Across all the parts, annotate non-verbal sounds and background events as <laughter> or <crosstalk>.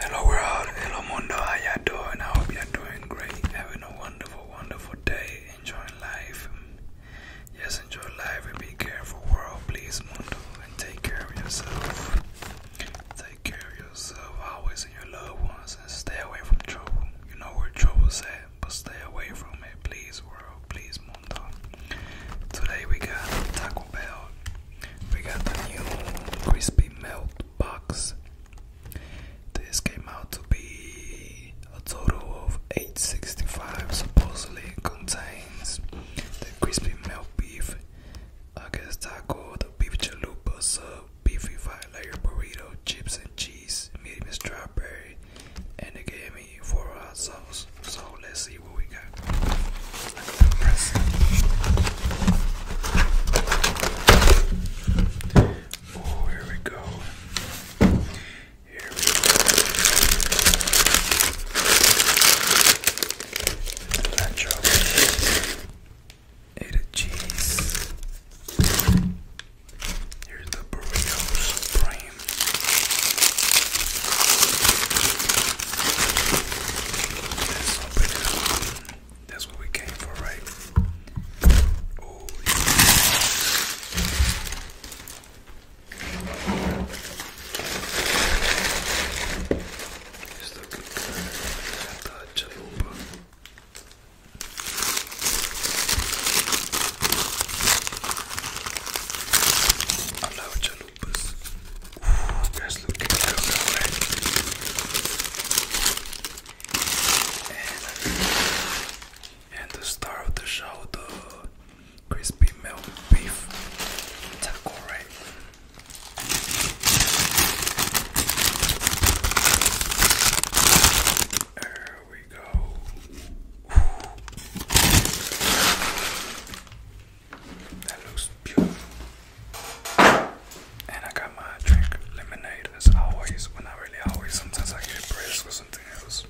Hello world, hello mundo, how y'all doing? I hope you're doing great, having a wonderful, wonderful day, enjoying life. Yes, enjoy life and be careful world, please mundo, and take care of yourself. Take care of yourself always and your loved ones, and stay away from trouble. You know where trouble's at, but stay away from it, please world, please mundo. Today we got Taco Bell we got the new crispy melt box. This came out to be a total of 865 supposedly contains the crispy melt beef, I guess taco, the beef chalupa sub, beefy five layer burrito, chips and cheese, medium strawberry, and they gave me four hot sauce. So let's see what we got. Oh, here we go. Here we go. Natural. Ate Here's the burrito supreme. it that's what we came for, right? Oh, uh, and, the star of the show, the crispy milk beef taco, There we go. That looks beautiful. And I got my drink lemonade as always. Well, not really always. Sometimes I get pressed for something else.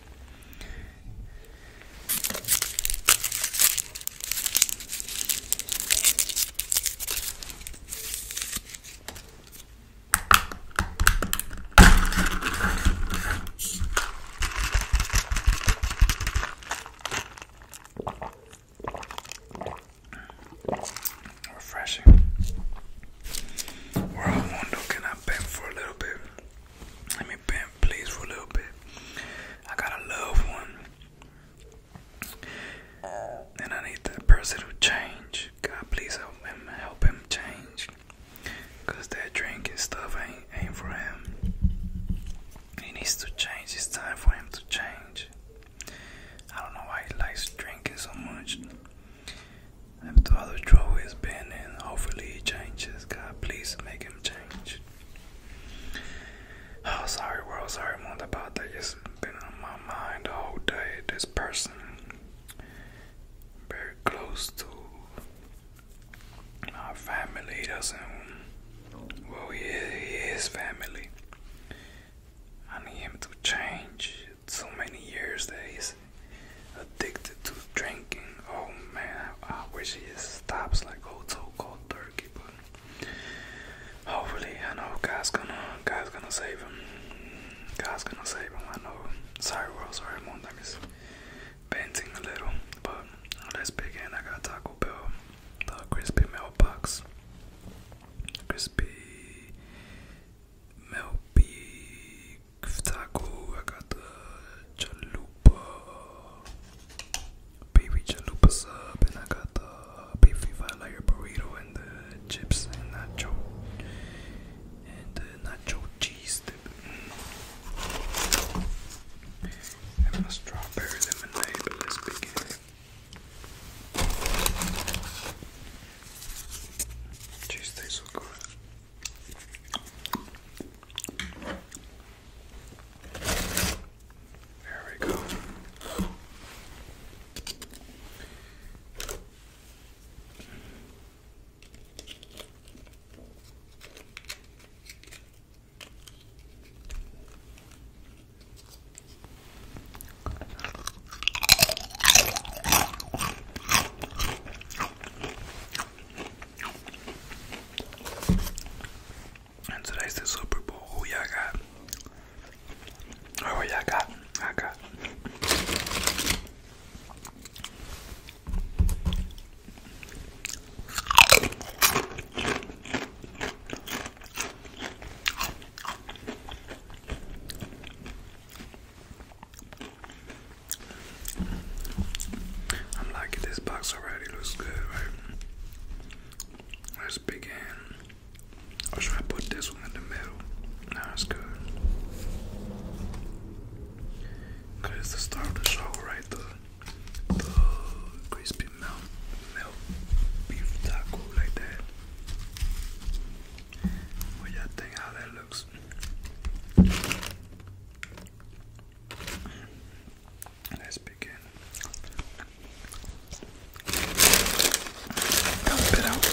Refreshing. We're on Mundo. Can I bend for a little bit? Let me bend, please, for a little bit. I got a loved one, and I need that person to change. God, please help him, help him change. Cause that drink and stuff ain't ain't for him. He needs to change. It's time for him to change. I don't know why he likes drinking so much. After all the trouble he's been in, hopefully he changes. God, please make him change. <sighs> Oh, sorry, world, sorry, more about that. it been on my mind the whole day. This person, very close to my family, doesn't. Well, he is family. I need him to change. So many years that he's addicted to drinking. Oh man, I wish he stops like old so called turkey, but hopefully I know God's gonna God's gonna save him. God's gonna save him. I know. Sorry world, sorry mom, that is painting a little, but let's begin. I got Taco Bell the crispy mailbox, crispy melt taco. I got the chalupa, baby chalupa sub, and I got the beefy five layer burrito and the chips and nacho and the nacho cheese. And my strawberry lemonade. But let's begin. Jeez, they so good. There we go. And today's the Super Bowl. Oh yeah, I got. Oh yeah, I got. I got. I'm liking this box already, looks good, right? Let's begin. should I put this one in the middle? No, it's good. Cause the start of the show, right? The the crispy melt milk beef taco like that. What y'all think how that looks? Let's begin. Dump it out.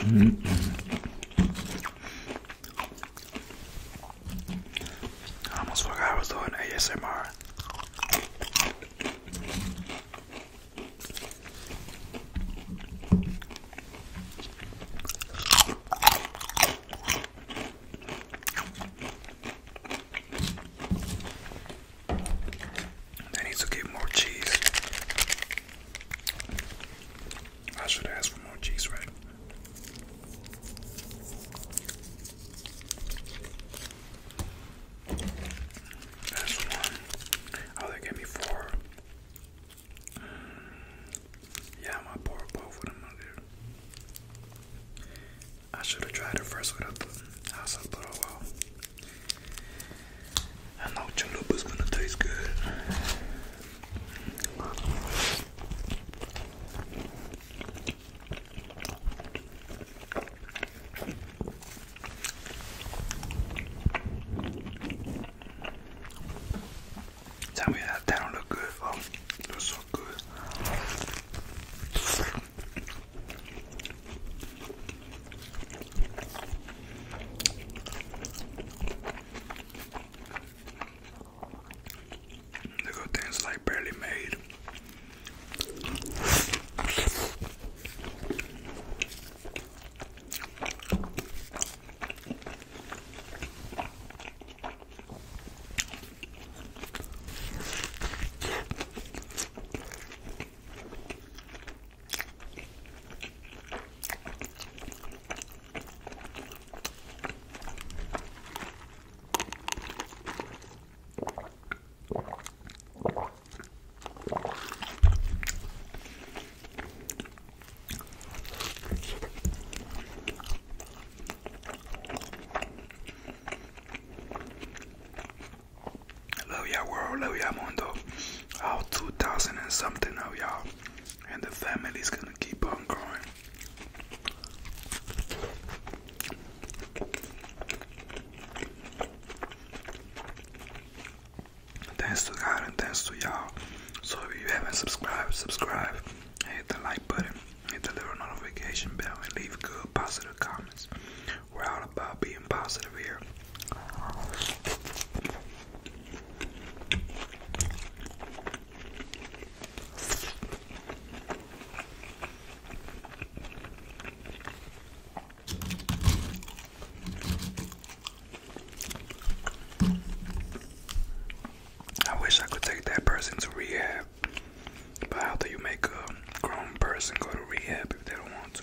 Mm -mm. I almost forgot I was doing ASMR. They need to get more cheese. I should ask for more cheese, right? That's one. Oh, they gave me four. Mm, yeah, I'm gonna pour both of them I should have tried it first without the house up, I know is gonna taste good. Tell me that that don't look good. Oh, looks so good. The good things like barely made. Love y'all world, love y'all mundo. All 2,000 and something of y'all and the family's gonna keep on growing. Thanks to God and thanks to y'all. So if you haven't subscribed, subscribe, hit the like button, hit the little notification bell, and leave good positive comments. We're all about being positive here. I wish I could take that person to rehab. But how do you make a grown person go to rehab if they don't want to?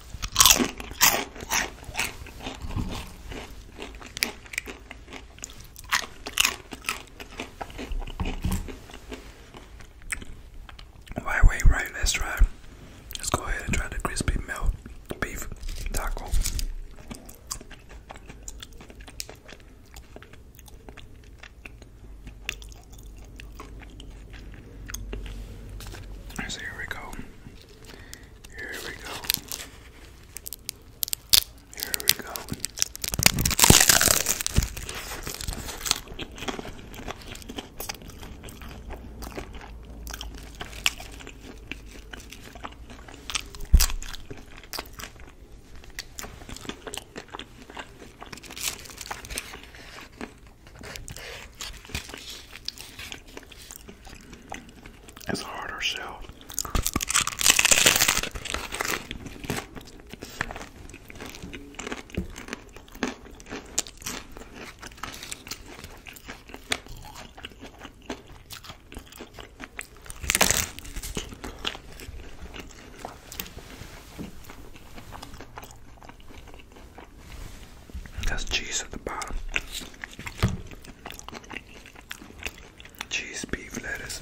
Why wait, right? Let's try. Let's go ahead and try the crispy melt beef taco. So here we go. Here we go. Here we go. It's a harder shell. That's cheese at the bottom. Cheese, beef, lettuce.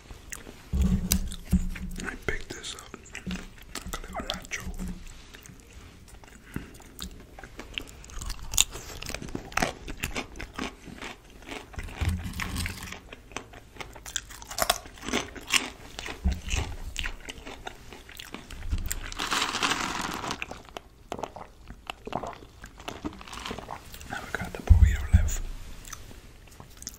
I picked this up a little nacho. Now we got the burrito left.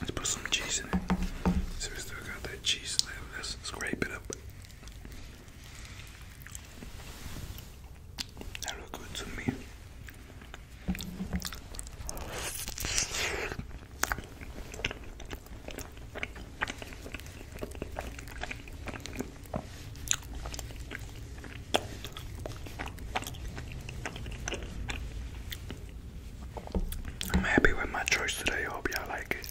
Let's put some cheese in it. So we still got that cheese left. Let's scrape it up. They look good to me. I'm happy with my choice today. I hope y'all like it.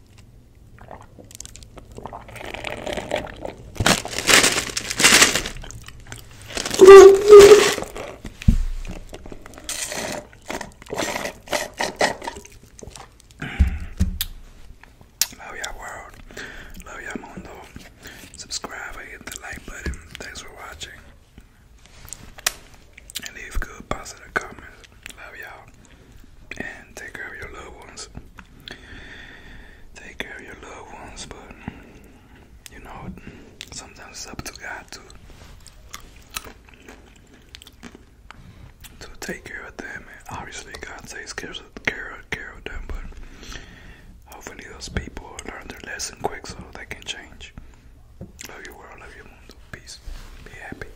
Love y'all world. Love y'all mundo. Subscribe hit the like button. Thanks for watching. And leave good positive comments. Love y'all and take care of your loved ones. Take care of your loved ones, but you know, sometimes it's up to God to to take care of them. And obviously, God takes care of care of, care of them, but hopefully, those people learn their lesson quick so they can change. Love your world, love your mundo. Peace. Be happy.